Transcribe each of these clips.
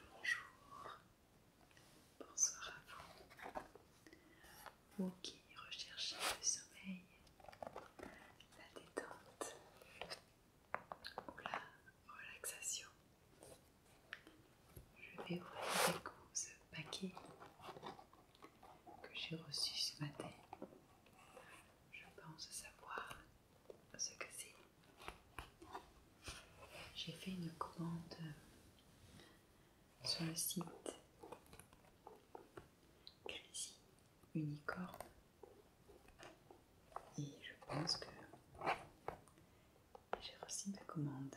Bonjour, bonsoir à vous. Vous qui recherchez le sommeil, la détente, pour la relaxation. Je vais ouvrir ce paquet que j'ai reçu ce matin. Je pense savoir ce que c'est. J'ai fait une commande sur le site Crazy Unicorn et je pense que j'ai reçu ma commande.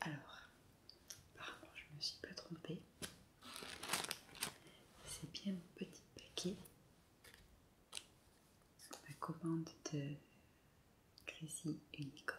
Alors, apparemment, je me suis pas trompée. C'est bien mon petit paquet. La commande de Chrissy Unicorn.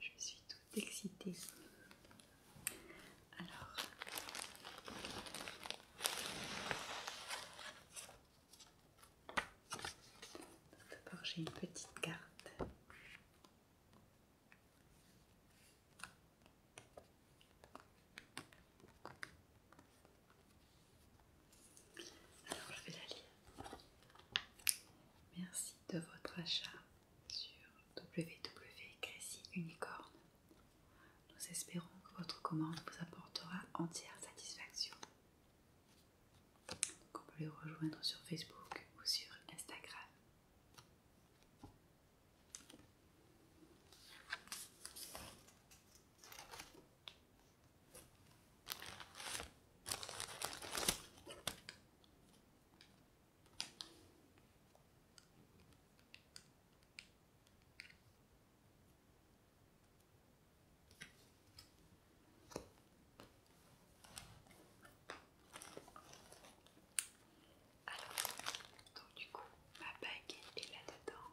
Je suis tout excitée. Alors, d'abord j'ai une petite carte. Alors je vais la lire. Merci de votre achat sur www.cressyunicorn. Nous espérons que votre commande vous apportera entière satisfaction. Vous pouvez les rejoindre sur Facebook ou sur Instagram. Alors, donc du coup, ma bague est là-dedans.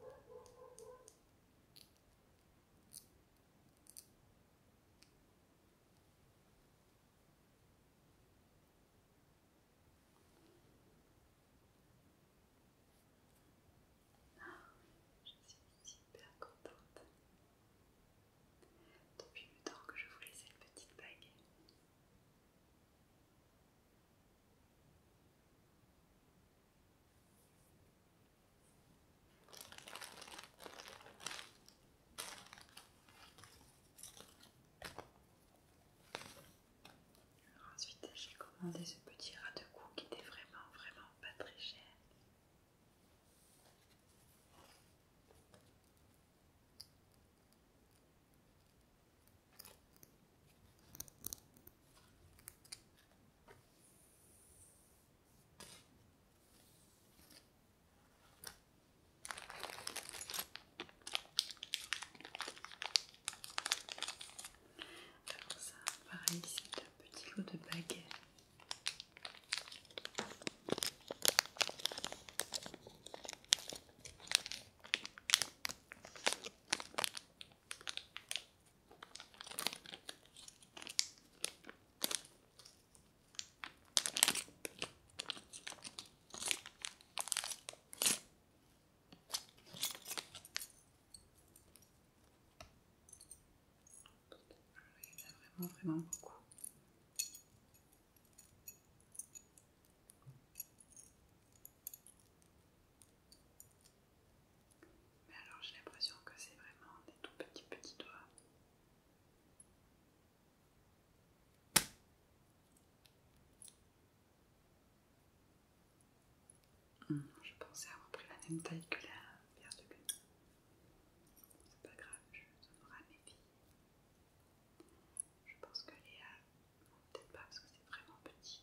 Ah, je suis super contente. Depuis le temps que je vous laissais une petite bague. Ensuite, j'ai commandé ce petit rat de cou qui était vraiment, vraiment pas très cher. Alors ça, pareil, c'est un petit lot de baguettes. Il y en a vraiment, vraiment beaucoup. Mais alors j'ai l'impression que c'est vraiment des tout petits petits doigts. Hum, je pensais avoir pris la même taille que la pierre de gueule. C'est pas grave, je donnerai mes filles. Je pense que Léa A, peut-être pas parce que c'est vraiment petit.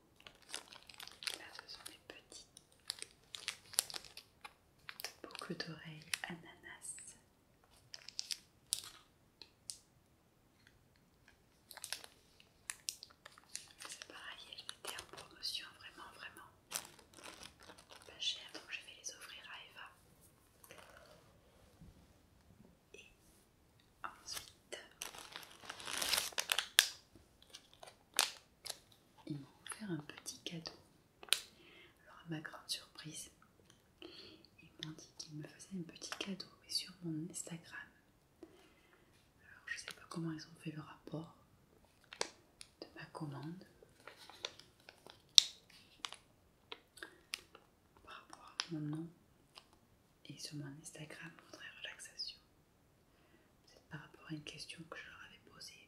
Là, ce sont des petits boucles d'oreilles ananas. C'est pareil, elles étaient en promotion vraiment, vraiment pas chères, donc je vais les offrir à Eva. Et ensuite, ils m'ont offert un petit cadeau. Alors à ma grande surprise, ils m'ont dit qu'ils me faisaient un petit cadeau mais sur mon Instagram. Alors je ne sais pas comment ils ont fait le rapport de ma commande par rapport à mon nom et sur mon Instagram pour relaxation. C'est par rapport à une question que je leur avais posée.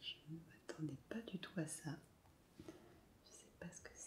je ne m'attendais pas du tout à ça. Je sais pas ce que c'est.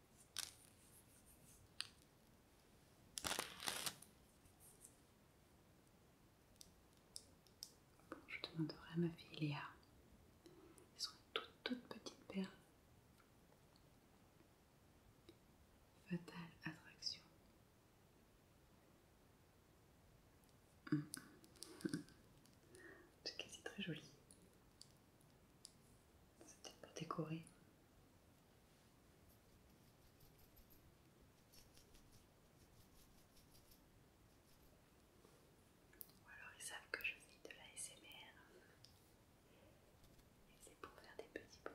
je demanderai à ma fille Léa. Elles sont toutes, toutes petites perles. Fatale attraction. Hmm. C'est quasi très joli. C'était pas décoré Ou alors ils savent que je fais de la SMR. Et c'est pour faire des petits bruits.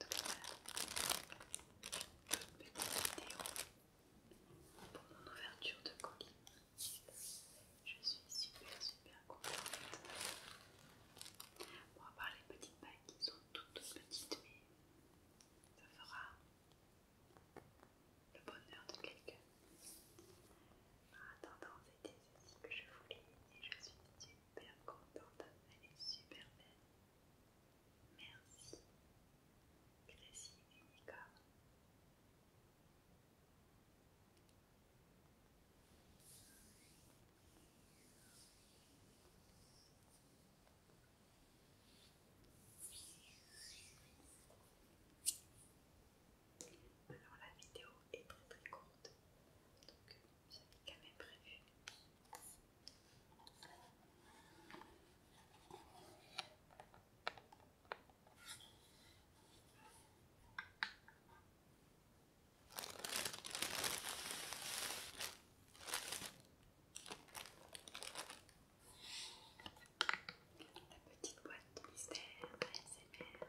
Donc voilà, une petite vidéo pour mon ouverture de colis. Je suis super super contente. Bon, à part les petites bagues qui sont toutes petites, mais ça fera le bonheur de quelqu'un c'était ceci que je voulais et je suis super contente, elle est super belle. Merci, Gracie Unicorn. Merci alors la vidéo est très très courte, donc j'avais quand même prévu. La petite boîte de mystère ASMR.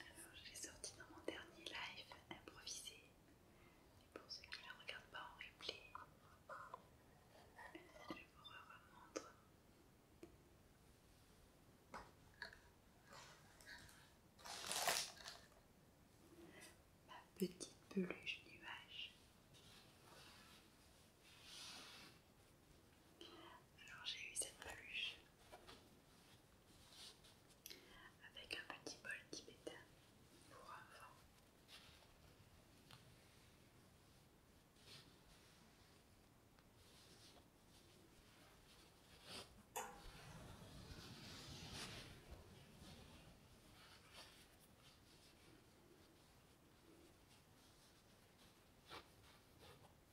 Alors, je l'ai sorti dans mon dernier live improvisé. Et pour ceux qui ne la regardent pas en replay, je vous remontre. Ma petite peluche nuage. Alors j'ai eu cette peluche avec un petit bol tibétain pour vent.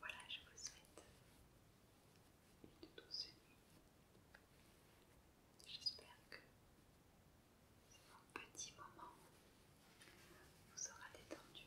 Voilà, je vous souhaite une douce nuit. J'espère que ce petit moment vous aura détendu.